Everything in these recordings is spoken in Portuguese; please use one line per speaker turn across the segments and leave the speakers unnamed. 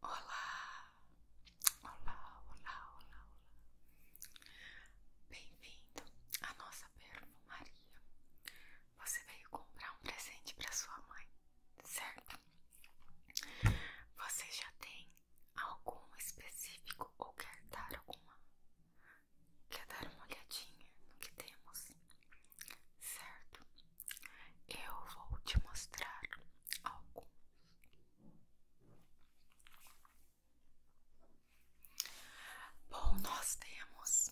Olá, olá, olá, olá, olá. Bem-vindo à nossa Maria. Você veio comprar um presente para sua mãe, certo? Você já tem algum específico ou quer dar alguma? Quer dar uma olhadinha no que temos, certo? eu vou te mostrar algo. Bom, nós temos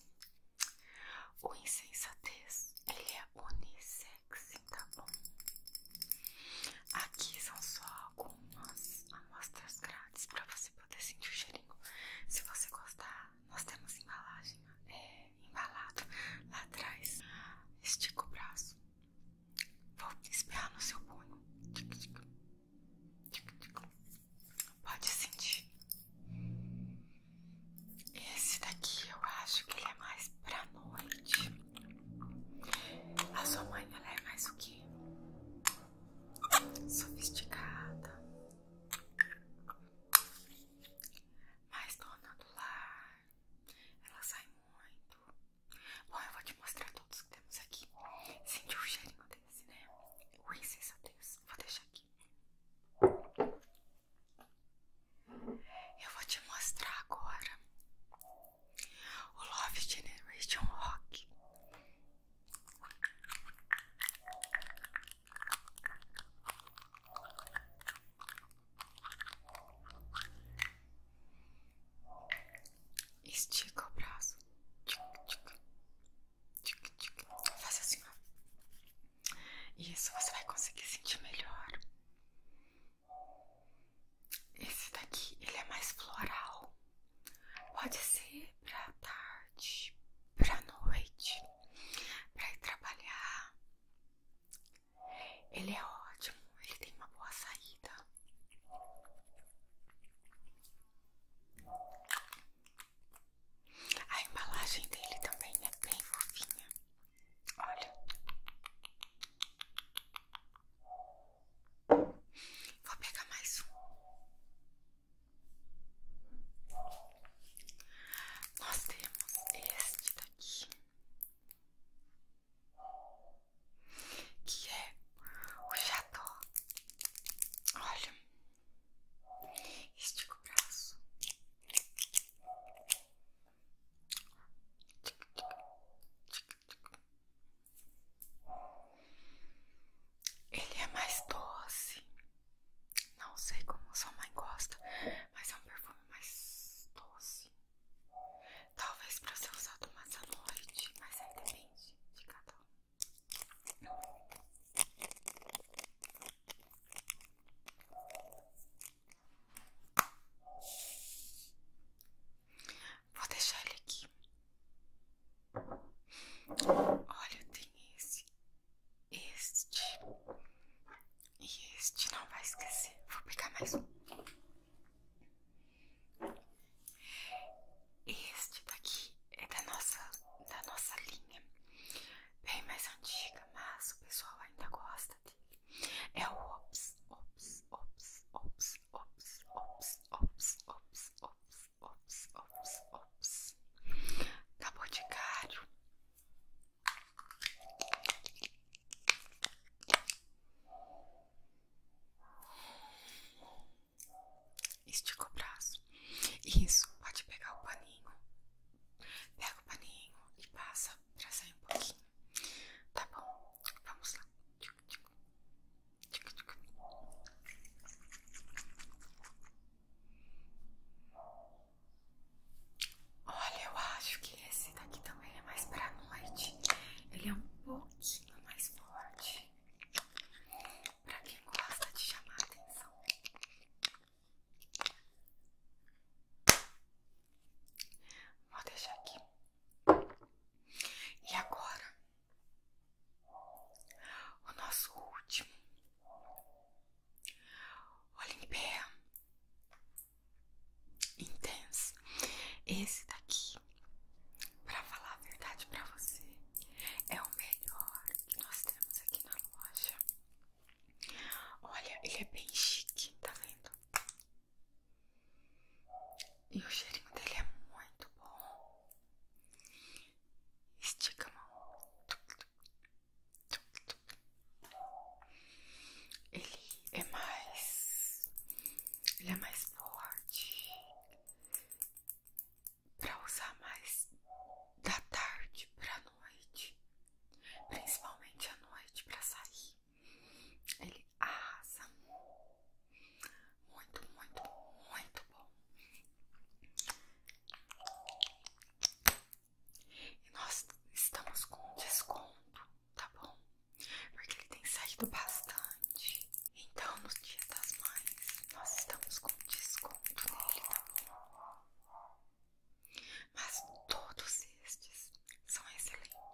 o insensatez, ele é unissex, tá bom? Aqui são só algumas amostras grátis para você poder sentir o cheirinho. Se você gostar, nós temos embalagem. É embalado lá atrás. Estica o braço. Vou esperar no seu punho. Pode sentir. Esse daqui eu acho que ele é mais pra noite. A sua mãe ela é mais o que? Sofisticada. Mais dona do lar ela sai muito. Bom, eu vou te mostrar todos que temos aqui. Sentiu o cheirinho desse, né? O insensatez. Vou deixar aqui. Eu vou te mostrar agora o Love Generation Rock. Estica o braço. Tic, tic. Tic, tic. Faz assim, ó. Isso, você vai conseguir sentir melhor. Esse daqui, ele é mais floral. Pode ser pra tarde, pra noite, pra ir trabalhar, ele é ótimo, ele tem uma boa saída. A embalagem dele também é bem fofinha. Olha, vou pegar mais um. Nós temos este daqui, que é o Jató. Olha, estica o braço. Ele é mais doce, não sei como sua mãe gosta, mas é um perfume mais doce. Talvez para ser usado mais à noite, mas aí é depende de cada um. Vou deixar ele aqui. Olha, tem esse este. E este não vai esquecer. Vou pegar mais um. Este daqui é da nossa, da nossa linha. Bem mais antiga, mas o pessoal ainda gosta dele. É o Ops, Ops, Ops, Ops, Ops, Ops, Ops, Ops, Ops ops, ops, ops, ops. Da Boticário. Estica o braço. Isso, pode pegar o paninho. Pega o paninho e passa pra sair um pouquinho. Tá bom, vamos lá. Tic, tic. Tic, tic. Olha, eu acho que esse daqui também é mais pra noite. Ele é um pouquinho mais forte. Para quem gosta de chamar atenção. Vou deixar aqui. E agora o nosso último Olimpia Intense. Esse daqui, para falar a verdade para você, é o melhor que nós temos aqui na loja. Olha, ele é bem chique, tá vendo? E o cheirinho dele é muito bom. Estica a mão. Ele é mais. Ele é mais forte. Pra usar mais da tarde pra noite. Principalmente à noite pra sair. Ele arrasa muito, muito, muito bom. E nós estamos com desconto, tá bom? Porque ele tem saído bastante. Então, no Dia das Mães, nós estamos com desconto nele, tá bom? Mas todos estes são excelentes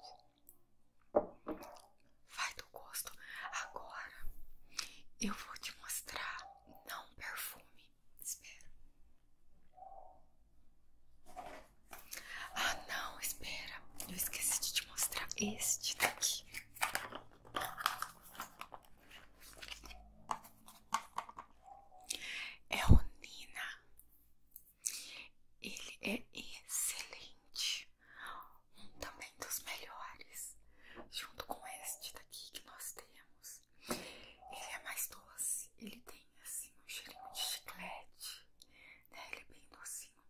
vai do gosto. Agora eu vou te mostrar não perfume. Espera. Ah, não, espera. Eu esqueci de te mostrar este daqui. É o Nina. Ele é excelente um também dos melhores, junto com este daqui que nós temos. Ele é mais doce, ele tem assim um cheirinho de chiclete, né? Ele é bem docinho,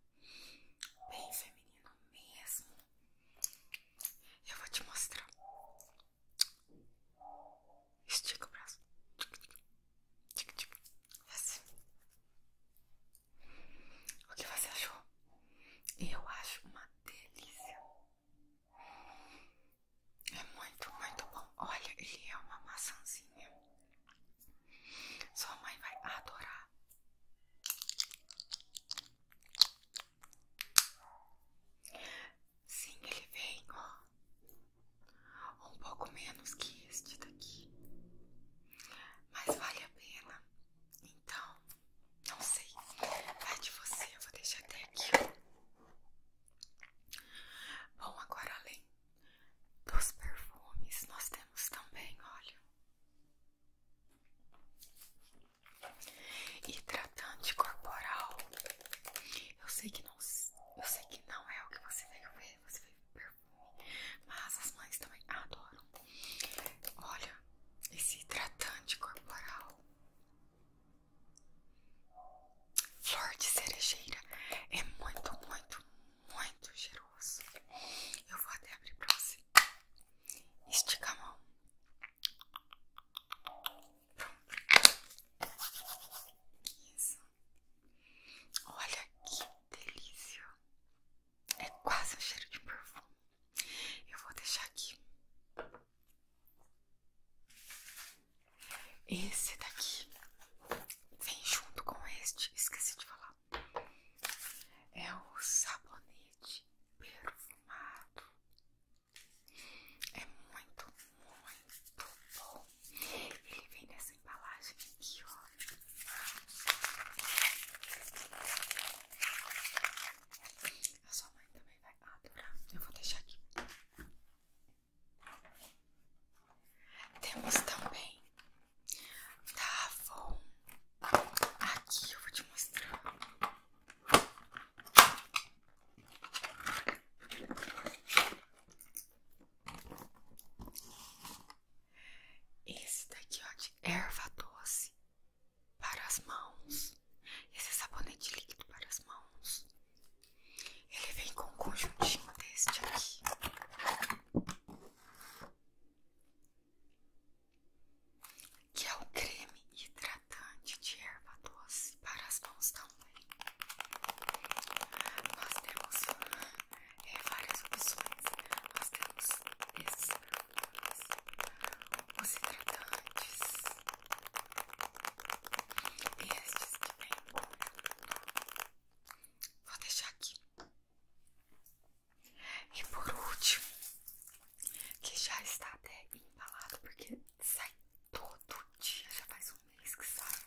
bem feminino mesmo. Eu vou te mostrar. Estica o braço. Tic, tic, tic, tic. Assim. O que você achou? Eu acho uma delícia. É muito, muito bom. Olha, ele é uma maçãzinha. Sua mãe vai adorar. Sim, ele vem, ó. Um pouco menos que este daqui. Mas vale a pena. Então, não sei. Vai de você, eu vou deixar até aqui. Bom, agora além dos perfumes, nós temos também olha hidratante corporal. Eu sei que não, eu sei que não é o que você veio ver. Você veio ver mas as mães também adoram. Olha esse hidratante corporal. Flor de cerejeira é muito, muito, muito cheiroso. Eu vou até abrir pra você. Estica a mão. Pronto. Isso. Olha que delícia. É quase um cheiro de perfume. Eu vou deixar aqui. Esse daqui vem junto com este, esqueci de falar. É o sabonete perfumado. É muito, muito bom. Ele vem nessa embalagem aqui, ó. A sua mãe também vai adorar. Eu vou deixar aqui. Temos também da Avon. Aqui eu vou te mostrar. Esse daqui, ó, de erva doce para as mãos. Esse sabonete líquido para as mãos. Ele vem com um conjuntinho deste aqui. Que é o creme hidratante de erva doce para as mãos também. Nós temos é, várias opções. Nós temos esses os hidratantes, estes que vem. Vou deixar aqui. E por último, que já está até embalado, porque sai todo dia, já faz um mês que sai.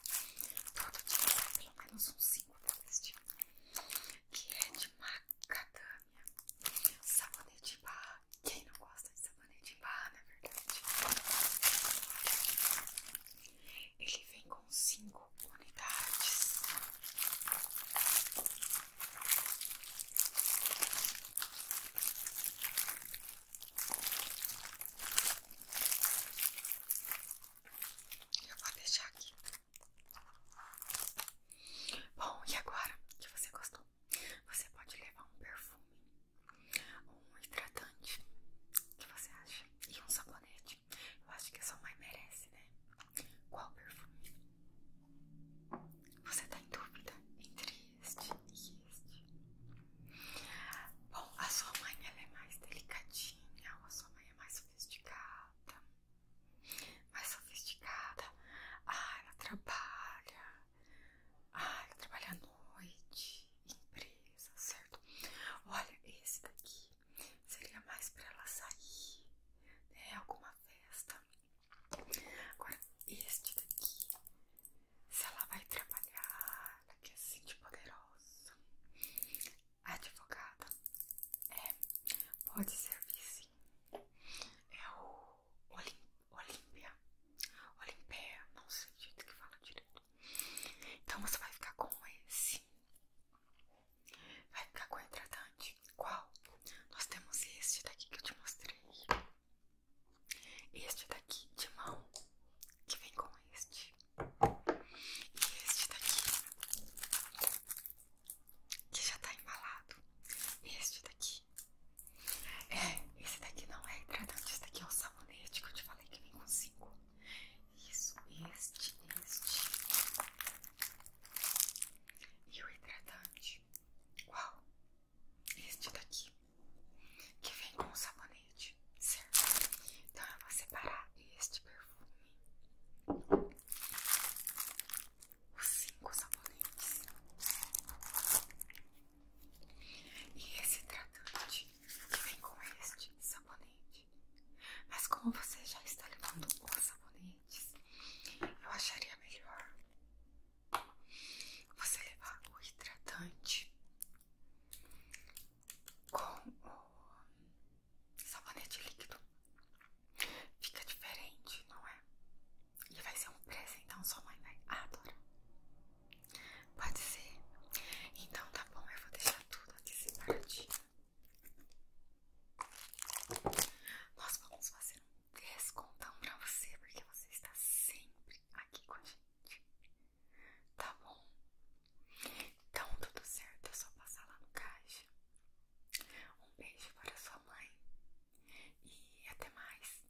Todo dia sai pelo menos uns que é de macadamia, sabonete de barra. Quem não gosta de sabonete de barra, na verdade? Ele vem com 5 unidades. Eu vou deixar aqui. Bom, e agora que você gostou, você pode levar um perfume, um hidratante, o que você acha? E um sabonete. Eu acho que a sua mãe merece, né? Qual perfume? Você tá em dúvida entre este e este? Bom, a sua mãe é mais delicadinha genial, a sua mãe é mais sofisticada, mais sofisticada. Ah, ela trabalha, ah, ela trabalha à noite, empresa, certo? Olha, esse daqui seria mais para ela sair, É Alguma festa. Agora, este daqui, se ela vai trabalhar, cara que assim é de poderosa. A advogada é, pode servir sim. É o Olim, Olímpia. Olimpia, não sei o jeito que fala direito. Então você vai ficar com esse. Vai ficar com o hidratante. Qual? Nós temos este daqui que eu te mostrei. Este daqui de mão que vem com este. E este daqui, que já tá embalado. Este daqui. É, esse daqui não é hidratante, esse daqui é o sabonete que eu te falei que vem com 5. Isso, este, este. E o hidratante. qual Este daqui que vem com o sabonete, certo? Então eu vou separar este perfume, os cinco sabonetes, e esse tratante que vem com este sabonete. Mas como você já está levando os sabonetes, eu acharia melhor você levar o hidratante com o sabonete líquido fica diferente, não é? E vai ser um presente então sua mãe vai adorar. Pode ser? Então tá bom, eu vou deixar tudo aqui separadinho. Nós vamos fazer um descontão pra você, porque você está sempre aqui com a gente. Tá bom? Então tudo certo, é só passar lá no caixa. Um beijo para sua mãe e até mais.